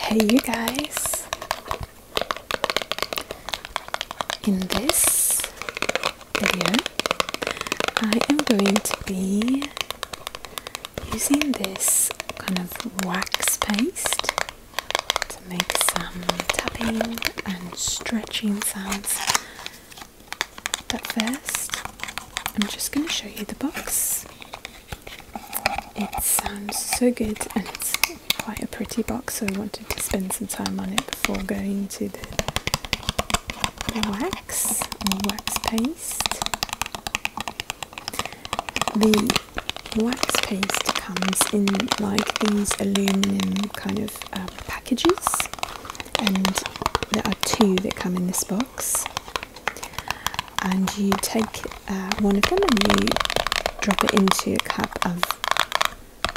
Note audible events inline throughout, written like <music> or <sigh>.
Hey you guys! In this video I am going to be using this kind of wax paste to make some tapping and stretching sounds but first, I'm just going to show you the box. It sounds so good and it's quite a pretty box, so I wanted to spend some time on it before going to the, the wax wax paste. The wax paste comes in like these aluminum kind of uh, packages and there are two that come in this box. And you take uh, one of them and you drop it into a cup of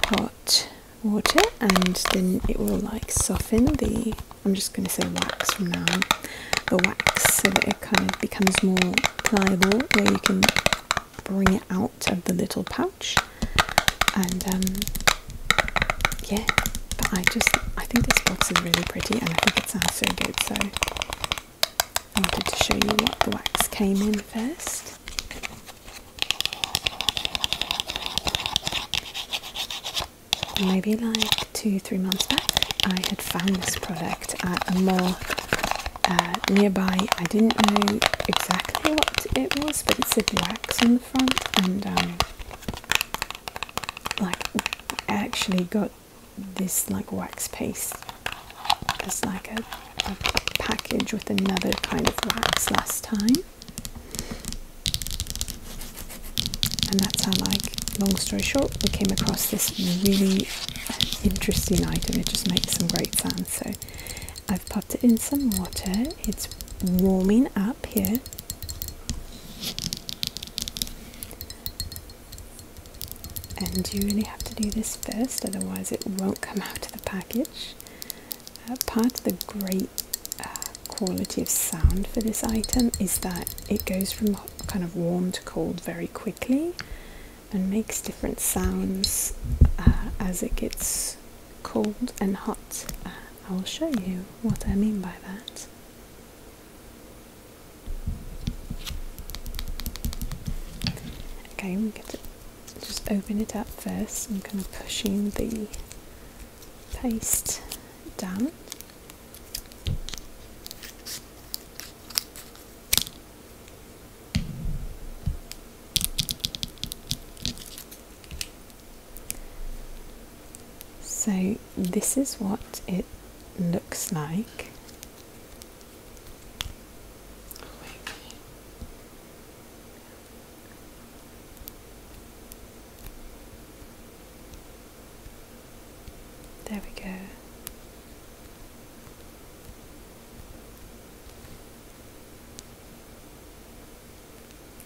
hot water, and then it will like soften the. I'm just going to say wax from now on, the wax, so that it kind of becomes more pliable, where you can bring it out of the little pouch, and um, yeah, but I just I think this box is really pretty and I think it sounds so good, so I wanted to show you what the wax came in first. Maybe like two, three months back, I had found this product at a mall uh, nearby. I didn't know exactly what it was, but it said wax on the front, and um, like actually got this like wax piece as like a, package with another kind of wax last time and that's how like long story short we came across this really interesting item it just makes some great sounds so I've popped it in some water it's warming up here and you really have to do this first otherwise it won't come out of the package uh, part of the great uh, quality of sound for this item is that it goes from kind of warm to cold very quickly and makes different sounds uh, as it gets cold and hot. I will show you what I mean by that this. Okay, we get to just open it up first. I'm kind of pushing the paste down. So, this is what it looks like. There we go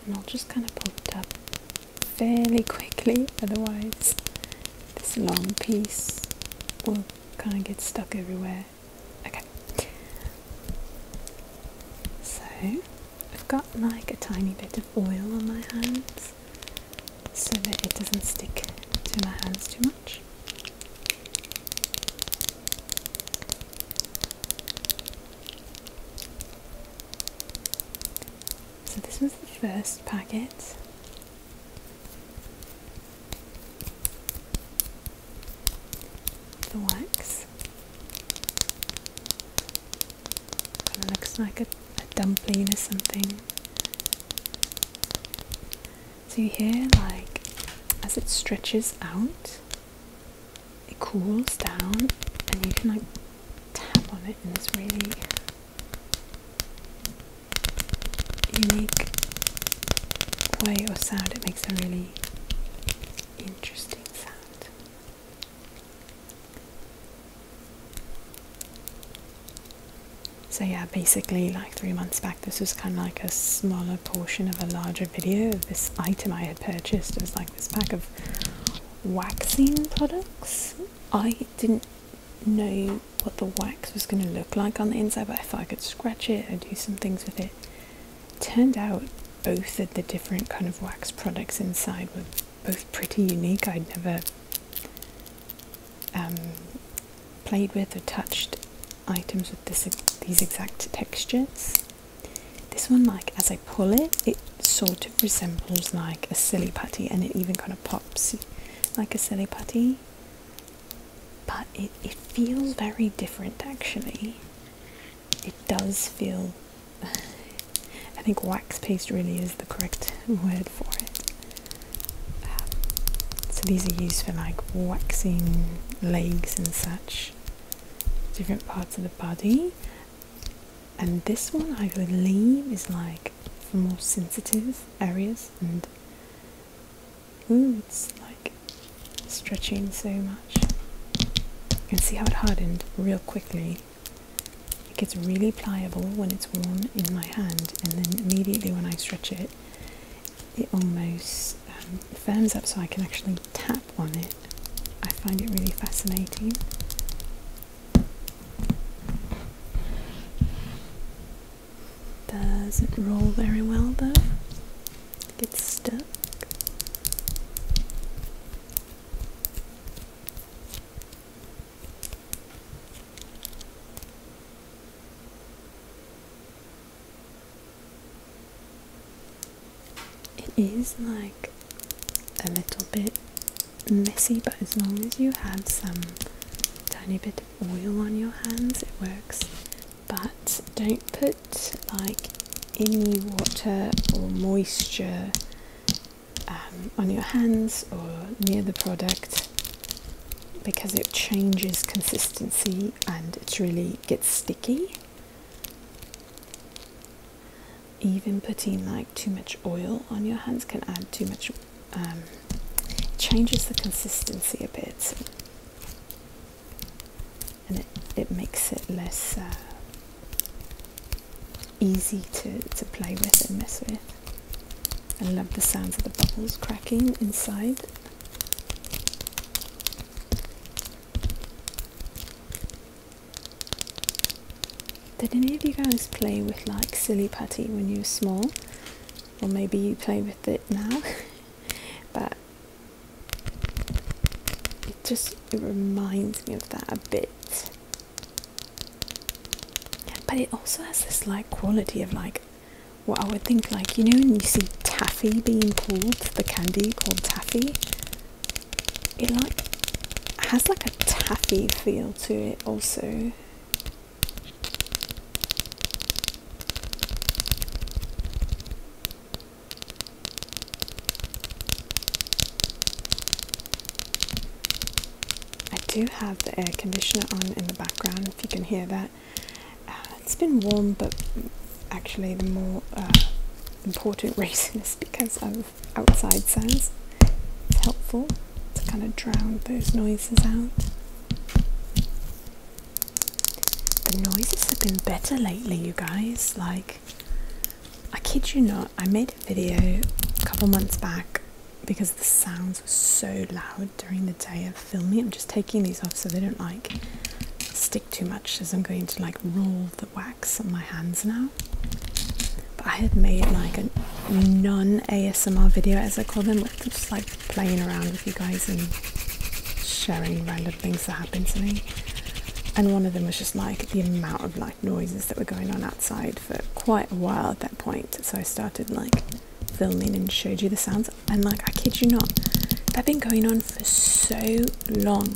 and I'll just kind of pull it up fairly quickly, <laughs> otherwise, this long piece will kind of get stuck everywhere. Okay, so I've got like a tiny bit of oil on my hands so that it doesn't stick to my hands too much. So this was the first packet. The wax. Kind of looks like a, a dumpling or something. So you hear like as it stretches out it cools down and you can like tap on it in this really unique way or sound. It makes a really interesting sound. So yeah, basically like three months back this was kind of like a smaller portion of a larger video. This item I had purchased was like this pack of waxing products. I didn't know what the wax was going to look like on the inside, but I thought I could scratch it and do some things with it. Turned out both of the different kind of wax products inside were both pretty unique. I'd never um, played with or touched items with this, these exact textures. This one, like as I pull it, it sort of resembles like a silly putty, and it even kind of pops like a silly putty. But it it feels very different actually. It does feel. <sighs> I think wax paste really is the correct word for it. Um, so these are used for like waxing legs and such, different parts of the body, and this one I believe is like for more sensitive areas and ooh, it's like stretching so much. You can see how it hardened real quickly. It gets really pliable when it's warm in my hand, and then immediately when I stretch it, it almost um, firms up so I can actually tap on it, I find it really fascinating. Doesn't roll very well though, gets stuck it is like a little bit messy, but as long as you have some tiny bit of oil on your hands, it works. But don't put like any water or moisture um, on your hands or near the product because it changes consistency and it really gets sticky even putting like too much oil on your hands can add too much um, changes the consistency a bit and it, it makes it less uh, easy to, to play with and mess with I love the sounds of the bubbles cracking inside did any of you guys play with like silly putty when you were small? Or maybe you play with it now? <laughs> but it just it reminds me of that a bit. But it also has this like quality of like what I would think like you know when you see taffy being pulled, the candy called taffy it like has like a taffy feel to it also I do have the air conditioner on in the background if you can hear that. Uh, it's been warm, but actually, the more uh, important <laughs> reason is because of outside sounds. It's helpful to kind of drown those noises out. The noises have been better lately, you guys. Like, I kid you not, I made a video a couple months back because the sounds were so loud during the day of filming. I'm just taking these off so they don't like stick too much as I'm going to like roll them wax on my hands now. But I had made like a non ASMR video, as I call them, just like playing around with you guys and sharing random things that happened to me. And one of them was just like the amount of like noises that were going on outside for quite a while at that point. So I started like filming and showed you the sounds. And like, I kid you not, they've been going on for so long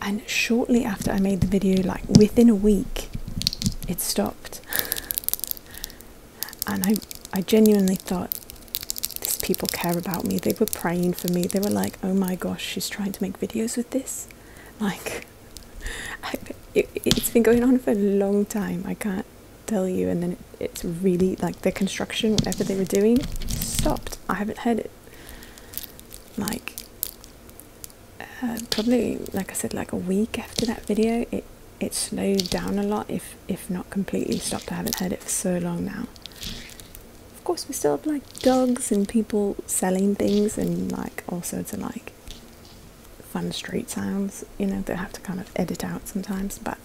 and shortly after I made the video, like within a week, it stopped. And I, I genuinely thought these people care about me. They were praying for me. They were like, "Oh my gosh, she's trying to make videos with this." Like, <laughs> it, has been going on for a long time. I can't tell you. And then it's really like the construction, whatever they were doing, stopped. I haven't heard it like uh, probably like I said like a week after that video it it slowed down a lot if if not completely stopped I haven't heard it for so long now of course we still have like dogs and people selling things and like all sorts of like fun street sounds you know they have to kind of edit out sometimes but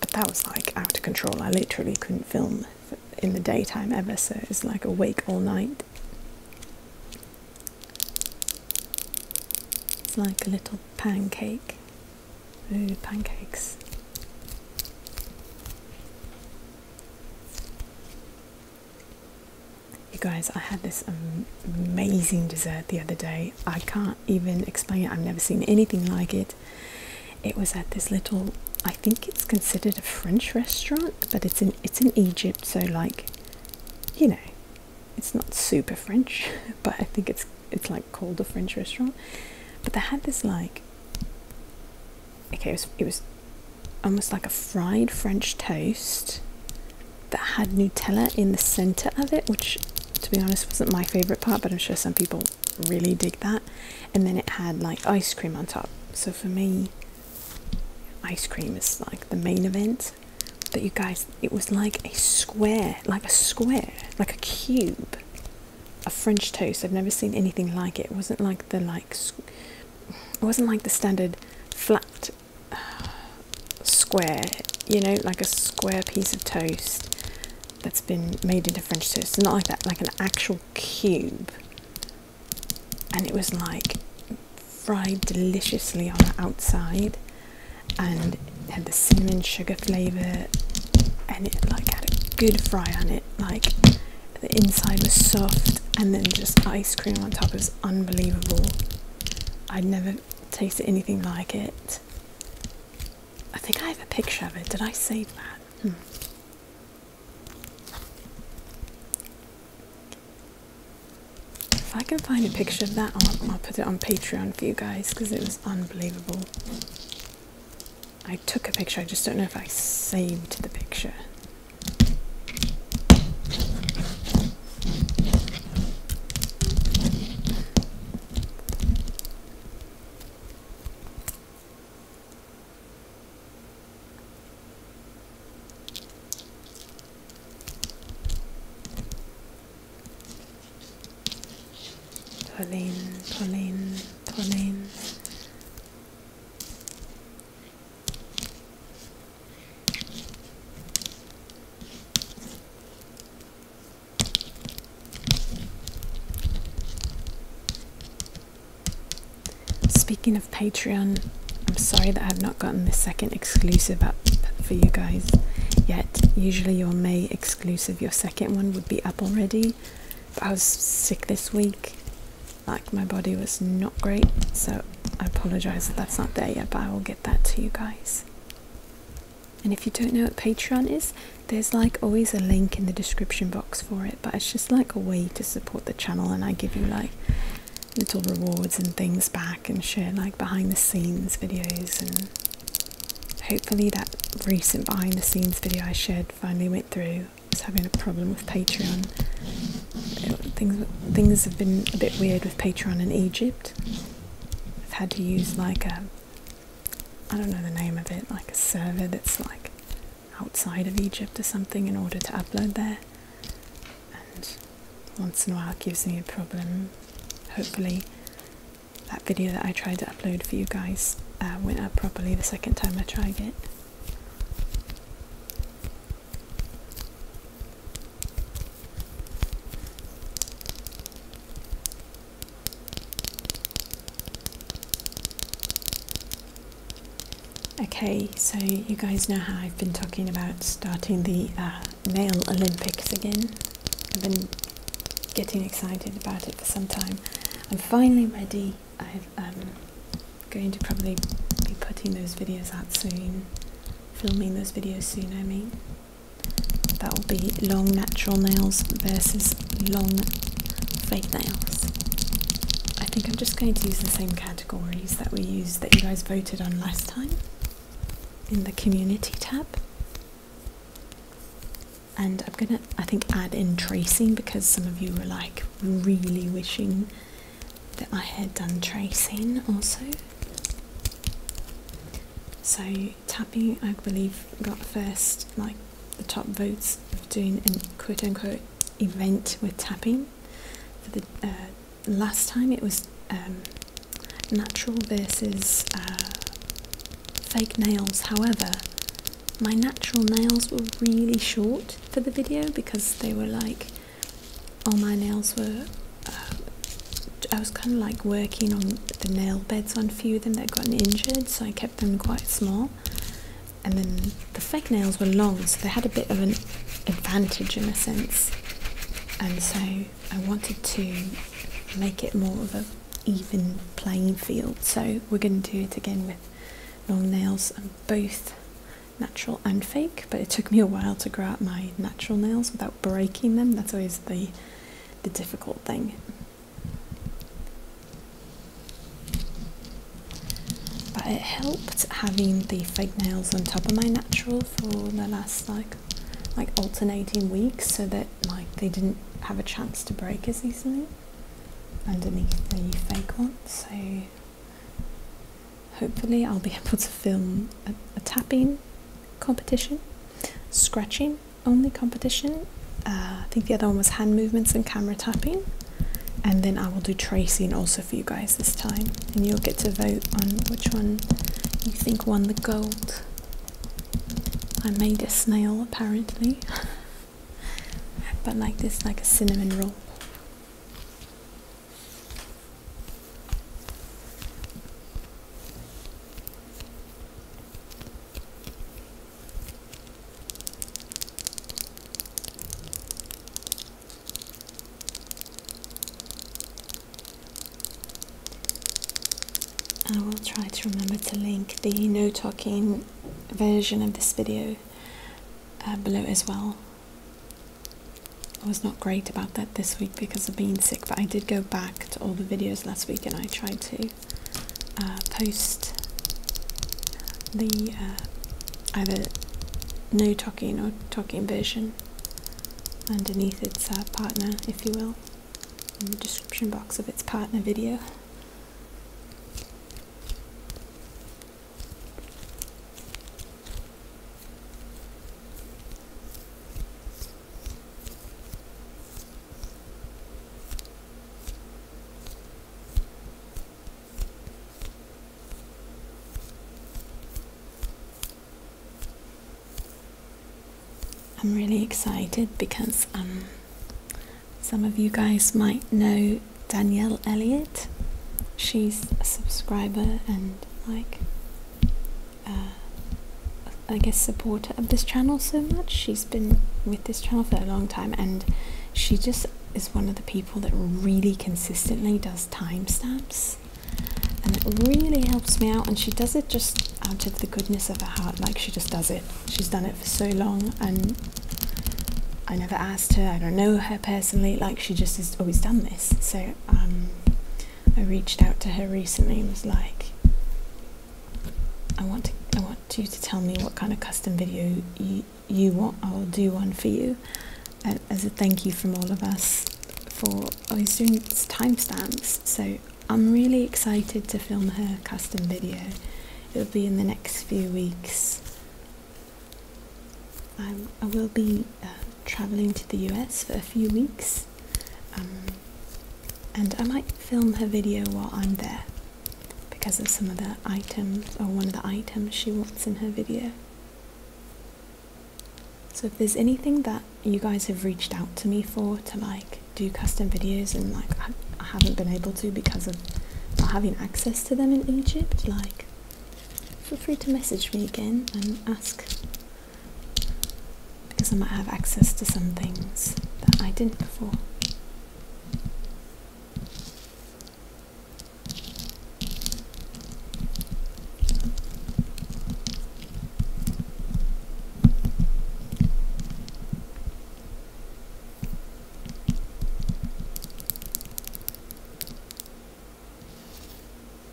but that was like out of control I literally couldn't film in the daytime ever, so it's like awake all night. It's like a little pancake. Ooh, pancakes. You guys, I had this amazing dessert the other day. I can't even explain it. I've never seen anything like it. It was at this little, I think it's considered a French restaurant, but it's in it's in Egypt, so like, you know, it's not super French, <laughs> but I think it's it's like called a French restaurant. But they had this like, okay, it was it was almost like a fried French toast that had Nutella in the center of it, which to be honest wasn't my favorite part, but I'm sure some people really dig that. And then it had like ice cream on top. So for me, ice cream is like the main event. But you guys, it was like a square, like a square, like a cube a French toast. I've never seen anything like it. It wasn't like the like, it wasn't like the standard flat uh, square, you know, like a square piece of toast that's been made into French toast. Not like that, like an actual cube. And it was like fried deliciously on the outside and had the cinnamon sugar flavour and it like had a good fry on it. Like the inside was soft and then just ice cream on top. It was unbelievable. I'd never tasted anything like it. I think I have a picture of it. Did I save that? Hmm. If I can find a picture of that, I'll put it on Patreon for you guys because it was unbelievable. I took a picture, I just don't know if I saved the picture. Pauline, Pauline, Pauline. Speaking of Patreon, I'm sorry that I have not gotten the second exclusive up for you guys yet. Usually, your May exclusive, your second one, would be up already. But I was sick this week, like my body was not great, so I apologize that that's not there yet, but I will get that to you guys and if you don't know what patreon is there's like always a link in the description box for it but it's just like a way to support the channel and i give you like little rewards and things back and share like behind the scenes videos and hopefully that recent behind the scenes video i shared finally went through i was having a problem with patreon things things have been a bit weird with patreon in egypt i've had to use like a I don't know the name of it, like a server that's like outside of Egypt or something in order to upload there. And once in a while it gives me a problem. Hopefully, that video that I tried to upload for you guys uh, went up properly the second time I tried it. Okay, so you guys know how I've been talking about starting the uh, male Olympics again. I've been getting excited about it for some time. I'm finally ready. I'm um, going to probably be putting those videos out soon, filming those videos soon, I mean. That will be long natural nails versus long fake nails. I think I'm just going to use the same categories that we used that you guys voted on last time in the community tab. And I'm gonna, I think, add in tracing because some of you were like really wishing that I had done tracing also. So Tapping, I believe, got first, like the top votes of doing a quote unquote event with tapping. For the uh, last time, it was um, natural versus uh, fake nails. However, my natural nails were really short for the video because they were like all my nails were. Uh, I was kind of like working on the nail beds on a few of them that gotten injured, so I kept them quite small. And then the fake nails were long, so they had a bit of an advantage in a sense. And so I wanted to make it more of an even playing field. So we're going to do it again with long nails, and um, both natural and fake. But it took me a while to grow out my natural nails without breaking them. That's always the the difficult thing. But it helped having the fake nails on top of my natural for the last like like alternating weeks so that like they didn't have a chance to break as easily underneath the fake ones. So hopefully I'll be <laughs> able to film a tapping competition, scratching only competition. Uh, I think the other one was hand movements and camera tapping. And then I will do tracing also for you guys this time. And you'll get to vote on which one you think won the gold. I made a snail apparently. <laughs> but like this, like a cinnamon roll. I will try to remember to link the no talking version of this video uh, below as well. I was not great about that this week because I've been sick, but I did go back to all the videos last week and I tried to uh, post the uh, either no talking or talking version underneath its uh, partner, if you will, in the description box of its partner video. I'm really excited because um, some of you guys might know Danielle Elliott. She's a subscriber and like uh, I guess supporter of this channel so much. She's been with this channel for a long time and she just is one of the people that really consistently does timestamps and it really helps me out and she does it just out of the goodness of her heart like she just does it she's done it for so long and I never asked her I don't know her personally like she just has always done this so um, I reached out to her recently and was like I want I want you to tell me what kind of custom video you, you want. I'll do one for you as a thank you from all of us for always doing timestamps. So I'm really excited to film her custom video. It'll be in the next few weeks. I, I will be uh, traveling to the US for a few weeks, um, and I might film her video while I'm there because of some of the items or one of the items she wants in her video. So if there's anything that you guys have reached out to me for to like do custom videos and like I haven't been able to because of not having access to them in Egypt, like feel free to message me again and ask because I might have access to some things that I didn't before.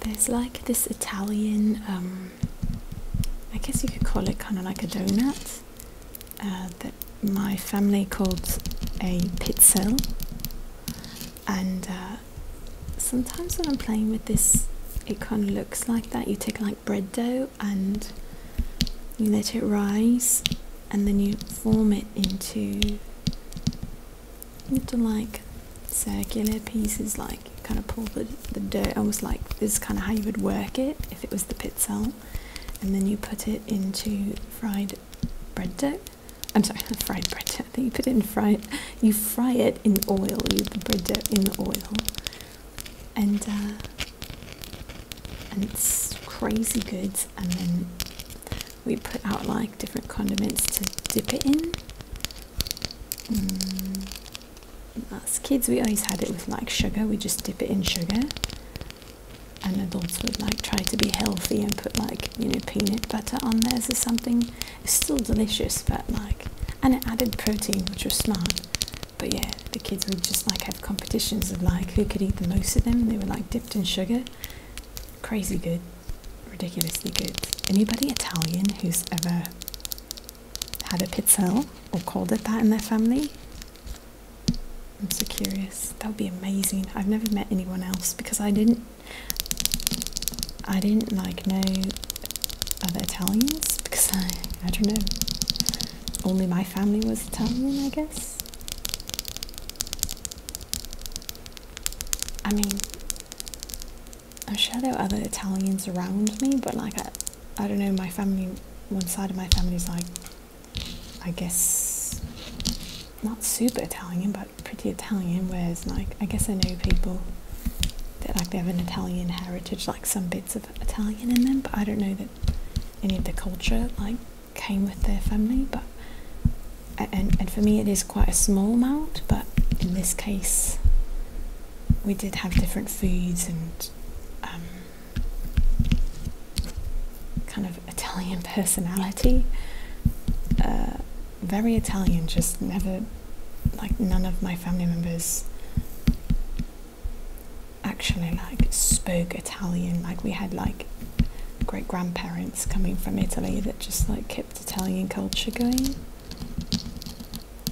There's like this Italian, um, I guess you could call it kind of like a donut uh, that my family called a pizzelle. And uh, sometimes when I'm playing with this, it kind of looks like that. You take like bread dough and you let it rise and then you form it into little like circular pieces like kind of pull the, the dirt almost like this is kind of how you would work it if it was the pizzelle and then you put it into fried bread dough I'm sorry not <laughs> fried bread dough I think you put it in fry. you fry it in oil you put the bread dough in the oil and uh, and it's crazy good and then we put out like different condiments to dip it in. As mm. kids, we always had it with like sugar, we just dip it in sugar. And adults would like try to be healthy and put like you know peanut butter on theirs or something. It's still delicious, but like, and it added protein, which was smart. But yeah, the kids would just like have competitions of like who could eat the most of them. They were like dipped in sugar. Crazy good, ridiculously good. Anybody Italian who's ever had a pizza or called it that in their family? I'm so curious. That would be amazing. I've never met anyone else because I didn't I didn't like know other Italians because I I don't know. Only my family was Italian I guess. I mean, I'm sure there are other Italians around me, but like, I, don't know, my family, one side of my family is like, I guess, not super Italian, but pretty Italian, whereas like, I guess I know people that like they have an Italian heritage, like some bits of Italian in them, but I don't know that any of the culture, like, came with their family, but and, and for me it is quite a small amount, but in this case we did have different foods and um, kind of Italian <laughs> personality. Uh, very Italian, just never, like, none of my family members actually, like, spoke Italian. Like, we had, like, great grandparents coming from Italy that just like kept Italian culture going.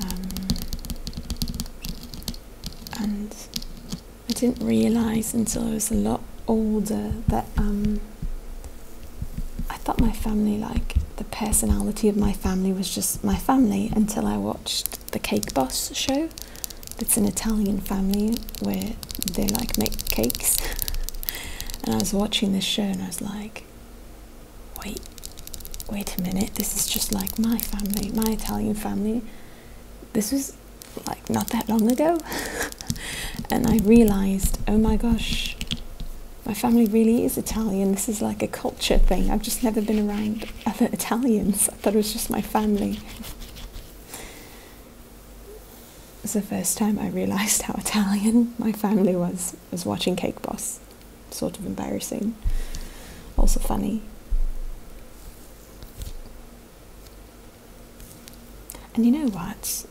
Um, and I didn't realise until I was a lot older that um, I thought my family, like the personality of my family, was just my family until I watched the Cake Boss show. It's an Italian family where they like make cakes. and I was watching this show and I was like, wait, wait a minute, this is just like my family, my Italian family. This was like not that long ago. <laughs> and I realized, oh my gosh, my family really is Italian. This is like a culture thing. I've just never been around other Italians. I thought it was just my family. It was the first time I realised how Italian my family was. was watching Cake Boss. Sort of embarrassing. Also funny. And you know what?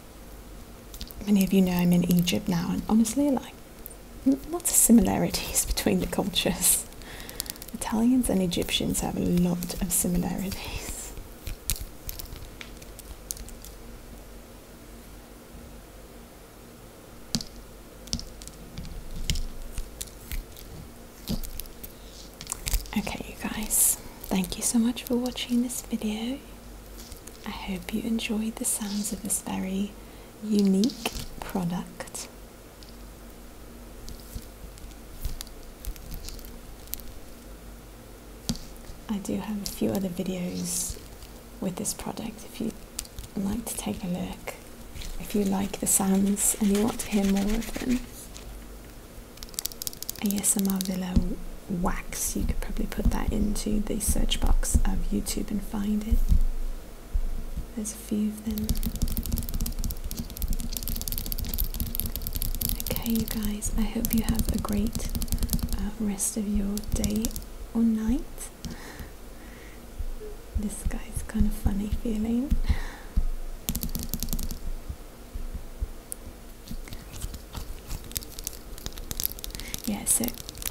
Many of you know I'm in Egypt now, and honestly, like, lots of similarities <laughs> between the cultures. Italians and Egyptians have a lot of similarities. Okay you guys, thank you so much for watching this video. I hope you enjoyed the sounds of this very unique product. I do have a few other videos with this product if you'd like to take a look, if you like the sounds and you want to hear more of them. ASMR Villa Wax, you could probably put that into the search box of YouTube and find it. There's a few of them. Okay, you guys, I hope you have a great uh, rest of your day or night. This guy's kind of funny feeling. Yeah, so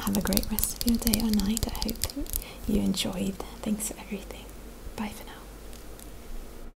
have a great rest of your day or night. I hope you enjoyed. Thanks for everything. Bye for now.